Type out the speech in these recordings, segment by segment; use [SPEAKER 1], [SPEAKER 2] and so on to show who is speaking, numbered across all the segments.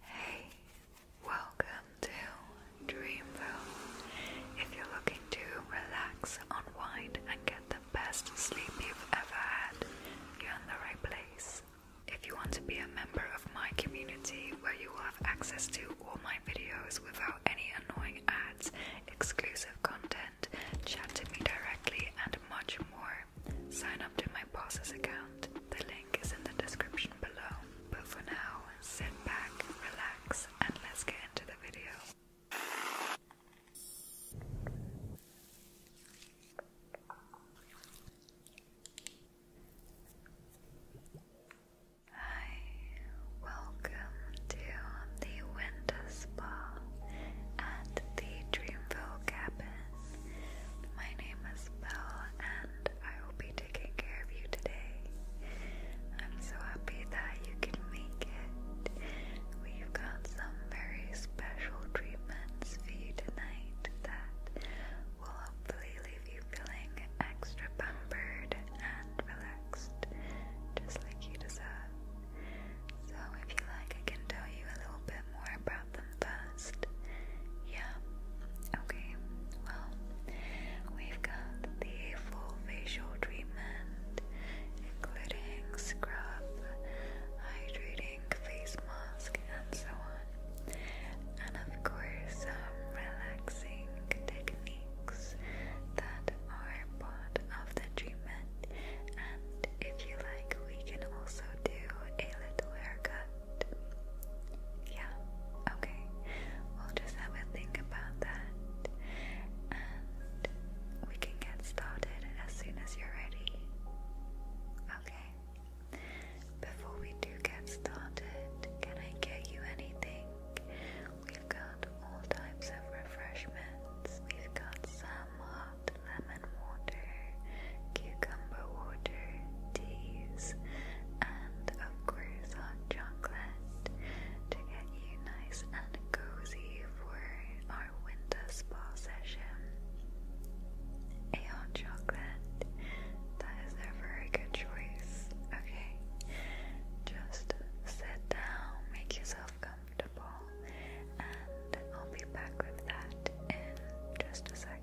[SPEAKER 1] Hey, welcome to Dreamville. If you're looking to relax, unwind, and get the best sleep you've ever had, you're in the right place. If you want to be a member of my community where you will have access to all my videos without any annoying ads, exclusive content, chat to me directly, and much more, sign up to my boss's account. The link is in the description below. But for now, sit back, relax, and let's get into the video. Hi, welcome to the Winter Spa at the Dreamville Cabin. My name is Belle, and I will be taking care of you today. I'm so happy that you can make it. We've got some very special treatments for you tonight that will hopefully leave you feeling extra pampered and relaxed, just like you deserve. So, if you like, I can tell you a little bit more I them first. Yeah. Okay. Well, we've got the full facial treatment, including scrub, hydrating face mask, and so on. And of course, some um, relaxing techniques that are part of the treatment. And if you like, we can also do a little haircut yeah, okay. We'll just have a think about that and we can get started as soon as you're ready. Okay. Before we do get started, can I get you anything? We've got all types of refreshments. We've got some hot lemonade water, cucumber water, teas, and of course hot chocolate to get you nice and cozy for our winter spa session. A hot chocolate, that is a very good choice, okay? Just sit down, make yourself comfortable, and I'll be back with that in just a second.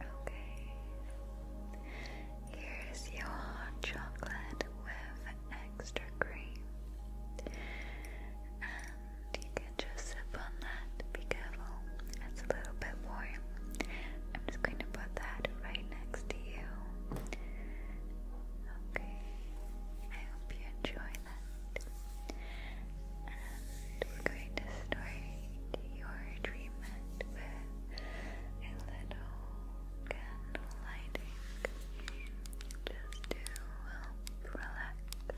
[SPEAKER 1] Okay, here's your chocolate with extra cream, and you can just sip on that. Be careful, it's a little bit warm, I'm just going to put that right next to you. Okay, I hope you enjoy that. And we're going to start your treatment with a little candle lighting just to help relax and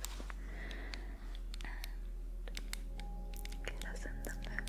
[SPEAKER 1] get us in the mood.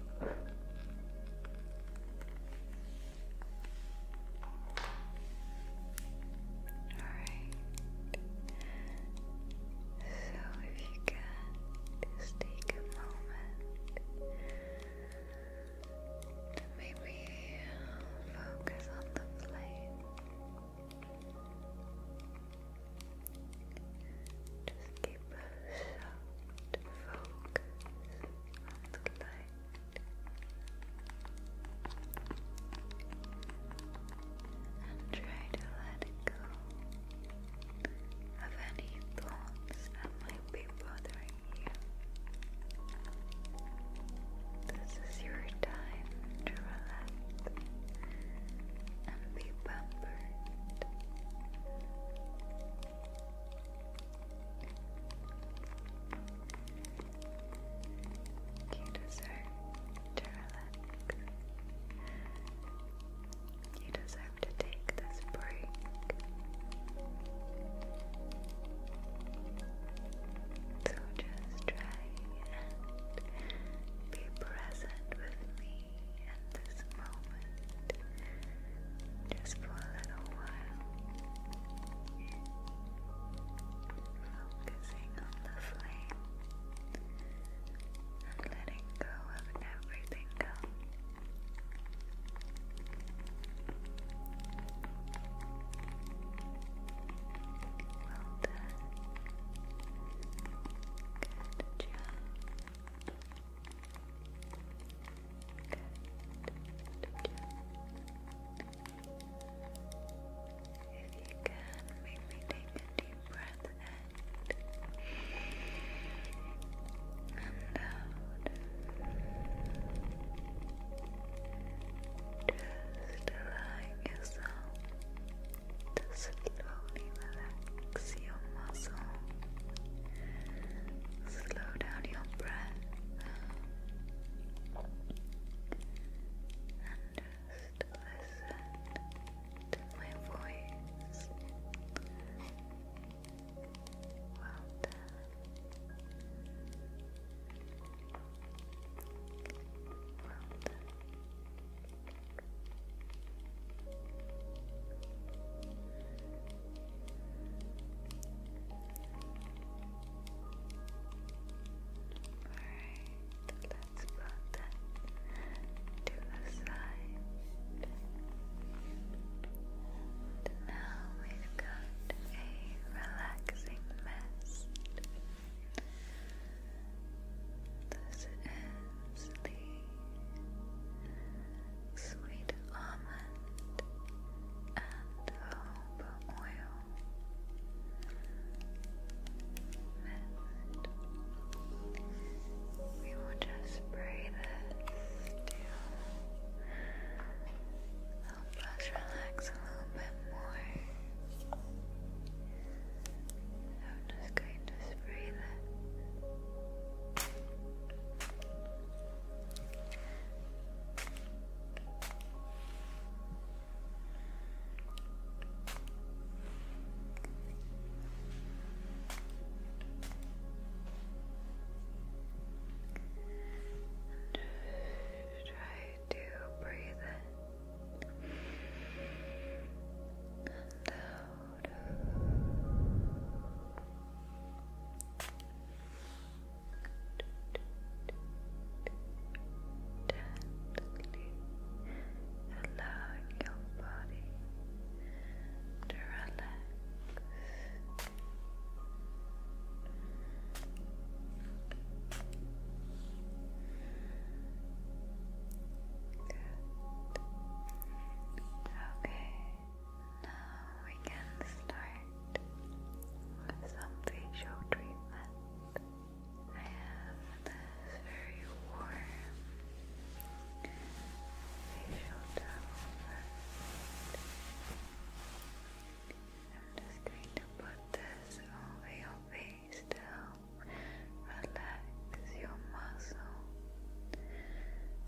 [SPEAKER 1] Alright. So if you can, just take a moment to maybe focus on the flame. Just keep a soft focus on the light and try to let go of any thoughts that might be bothering you. This is your time to relax and be pampered. You deserve to relax. You deserve to take this break. So just try and be present with me in this moment just for a little while, focusing on the flame and letting go of everything else. Well done. Good job. If you can, make me take a deep breath in and out. Just allowing yourself to slowly relax relax your muscle. Slow down your breath and just listen to my voice. Well done. Well done. Alright, let's put that to the side. now we've got a relaxing mist. This is the sweet almond and hope oil We will just spray this to help us relax a little bit more. I'm just going to spray this. just try to breathe and Gently allowing your body to Relax. Good. Okay, now we can start with some facial treatment. I have this very warm facial towel first. I'm just going to put this over your face to relax your muscle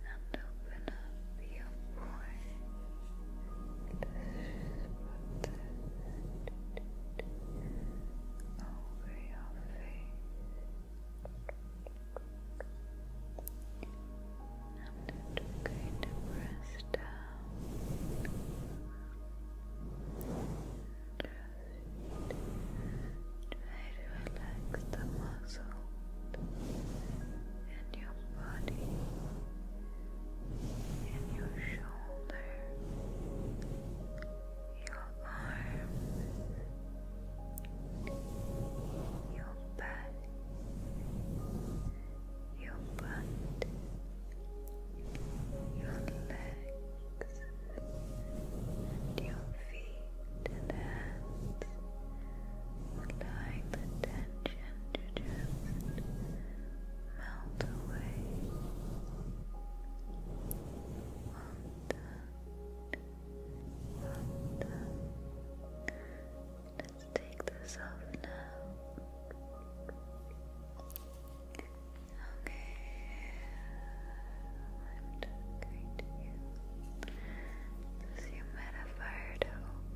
[SPEAKER 1] and open up your voice. Over your face, and it's going to press down. Try to relax the muscles in your body, in your shoulder, your arms, your back, your butt, your legs and your feet and hands, allowing the tension just melt away. Let's take this off now. Okay. I'm just going to open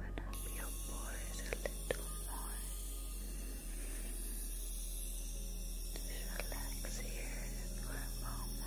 [SPEAKER 1] up your pores a little more. Just relax here for a moment.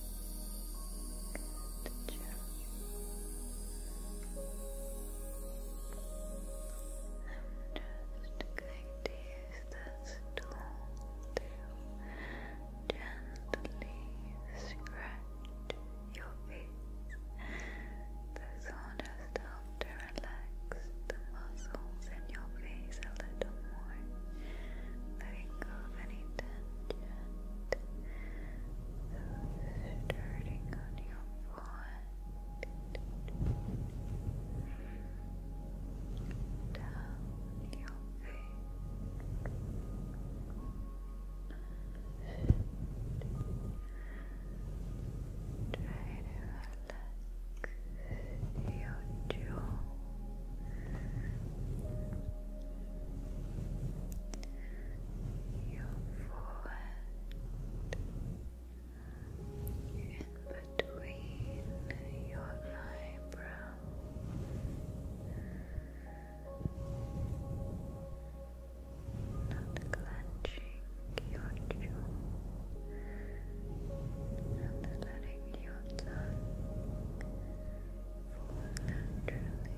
[SPEAKER 1] Good job. I'm just going to use this tool to gently scratch your face. This will just help to relax the muscles in your face a little more. Letting go of any tension. Relaxing that are on your forehead, down your face. Try to relax your jaw your forehead, in between your eyebrow. Not clenching your jaw and letting your tongue fall naturally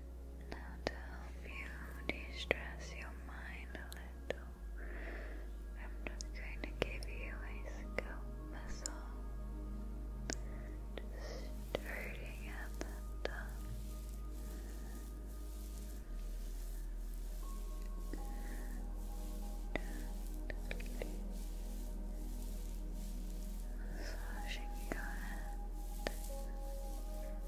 [SPEAKER 1] Now, to help you de stress your mind a little, I'm just going to give you a scalp massage, just starting at the top. Gently your head.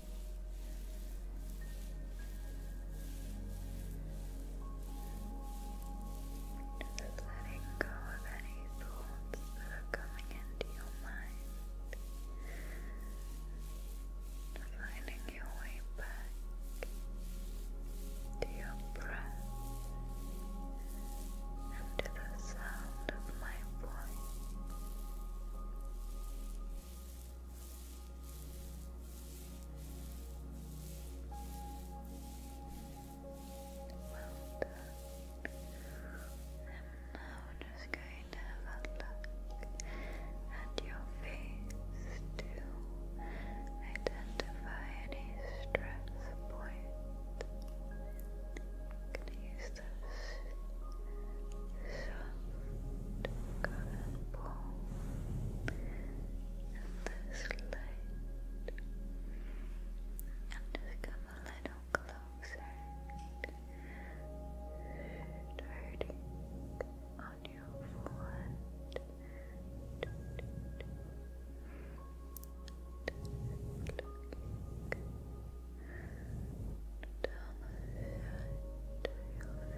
[SPEAKER 1] Just letting go of any thoughts that are coming into your mind. Finding your way back to your breath and to the sound of my voice. Well done. I'm now just going to have a look at your face to identify any stress points. I'm purple and this light and come a little closer starting on your forehead down the your face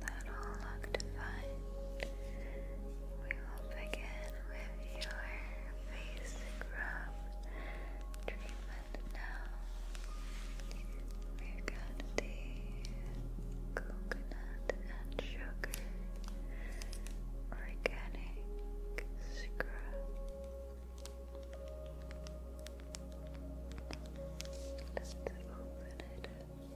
[SPEAKER 1] that all looked fine. We will begin with your basic rub treatment now. we got the coconut and sugar organic scrub. Let's open it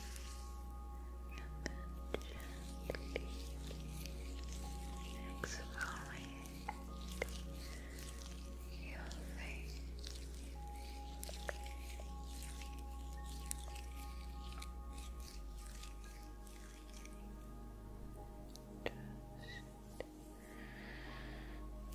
[SPEAKER 1] exfoliate your face. Just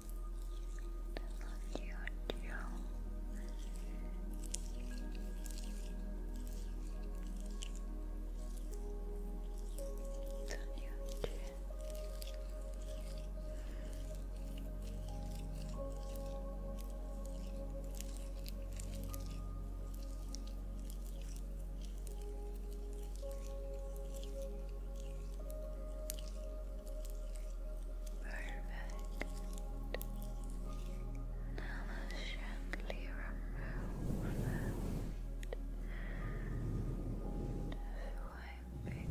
[SPEAKER 1] Look you jaw. It's on your Perfect. Now let's gently remove it. Just wiping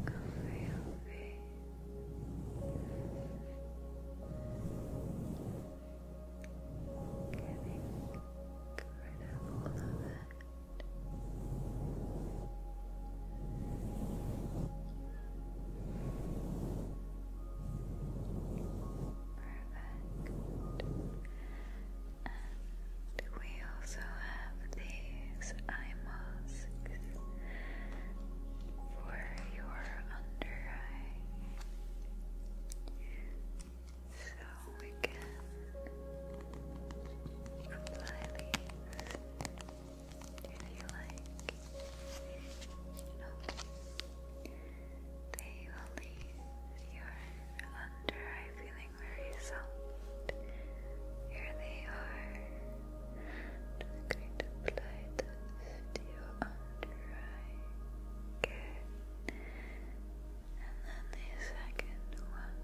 [SPEAKER 1] over your Getting rid of all of and we also have these eye masks for your under eye. So we can apply these if you like. they will leave your under eye feeling very soft. Here they are. going to apply this to your under eye. Good. And then the second one.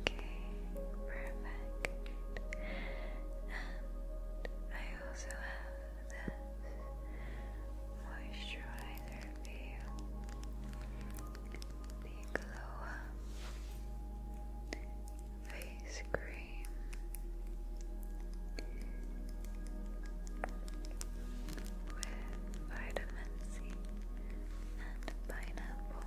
[SPEAKER 1] Okay, perfect. I also have this moisturizer for you. The Glow Face Cream. With vitamin C and pineapple.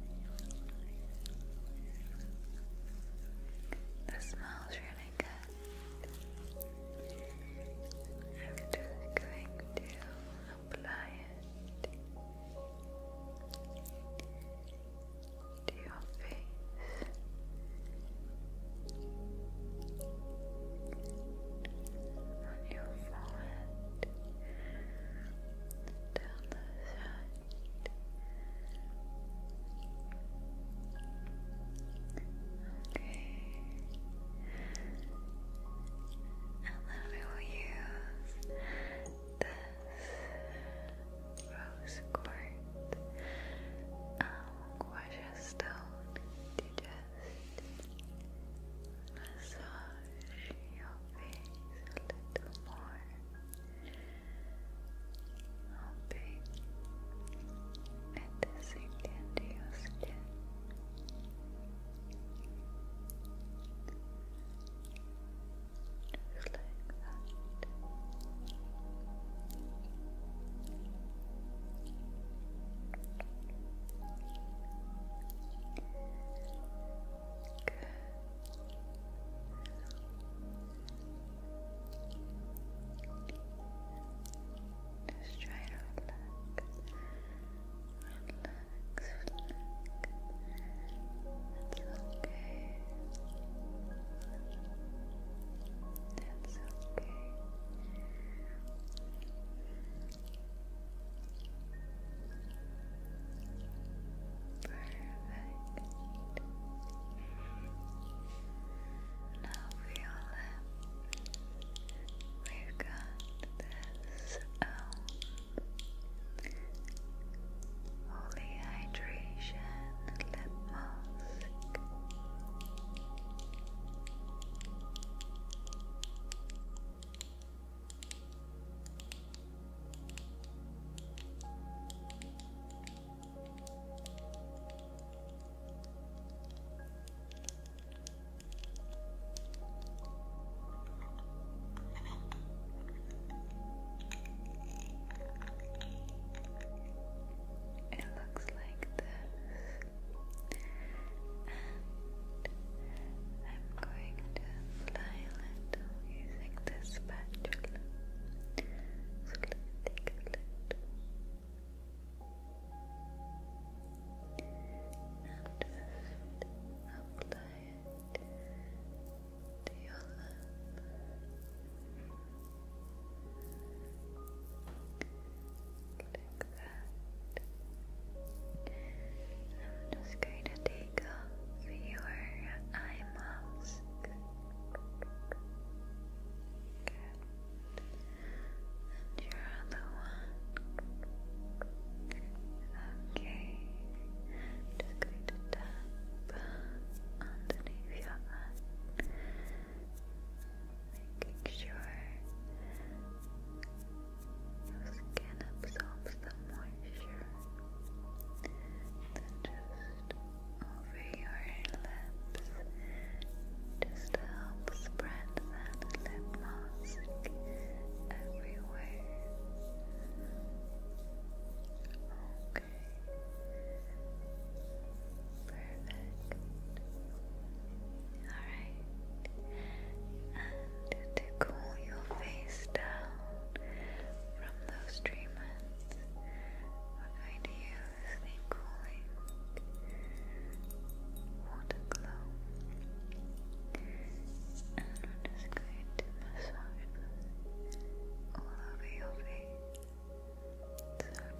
[SPEAKER 1] This smells really good. I'm just going to apply it to your face. On your forehead, down the side Okay. And then we will use this rose quartz um, gorgeous stone uh, to just massage your face a little more. Hoping it is sinking into your skin. Good. Just try to relax, relax, okay. That's okay. Perfect. Now, Viola, we've got this um, holy hydration lip mask. It looks like this, I'm going to apply a using this spatula. So let's take a little. Now just apply it to your lip. I'm just going to take Take off your eye mask. Good. And your other one. Okay. Just your eye. Making sure the skin absorbs the moisture then just over your lips just to spread that lip mask everywhere. Okay. Perfect. Alright. And to cool your face down, from those treatments, we're going to use the cooling water glow, and we're just going to massage all over your face, so it's straight.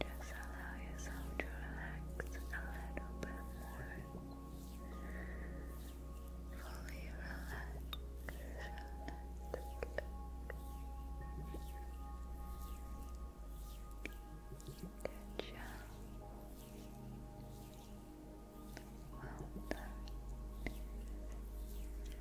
[SPEAKER 1] Just allow yourself to relax a little bit more. Fully relax. Good job. Well done. Now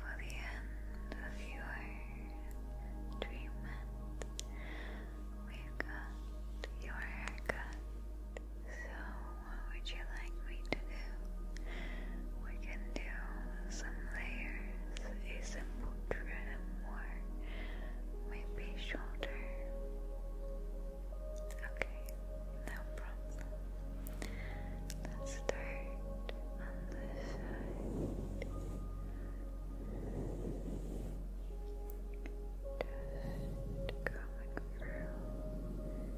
[SPEAKER 1] for the end of your treatment, we've got your haircut. So, what would you like me to do? We can do some layers, a simple trim or maybe shorter. Okay, no problem. Let's start on this side. just coming through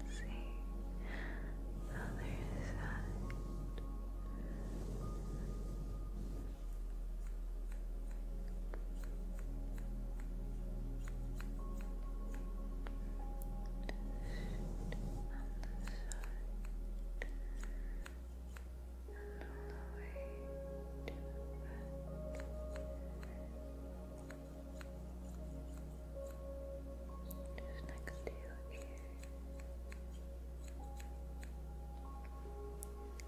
[SPEAKER 1] Let's see. Other side. And all the way to the just next to your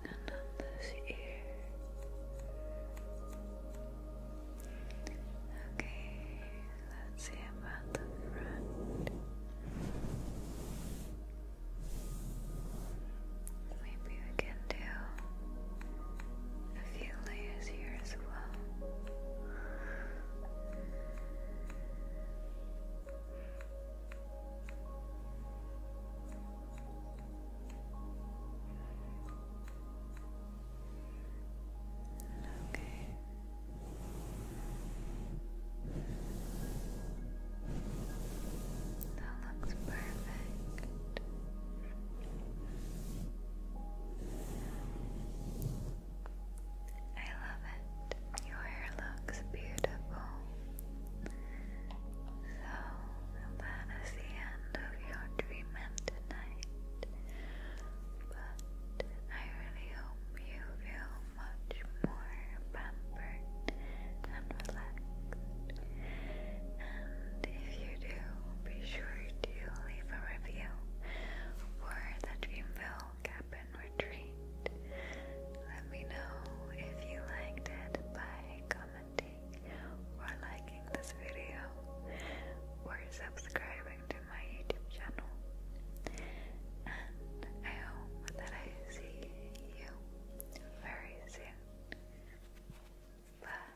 [SPEAKER 1] And on this ear. Okay, let's see about the front. Maybe we can do a few layers here as well. Okay. That looks perfect. I love it. Your hair looks beautiful. So, that is the end of your treatment tonight. But I really hope you feel much more pampered and relaxed. And if you do, be sure do leave a review for the Dreamville Cabin Retreat. Let me know if you liked it by commenting or liking this video or subscribing to my YouTube channel. And I hope that I see you very soon. Bye.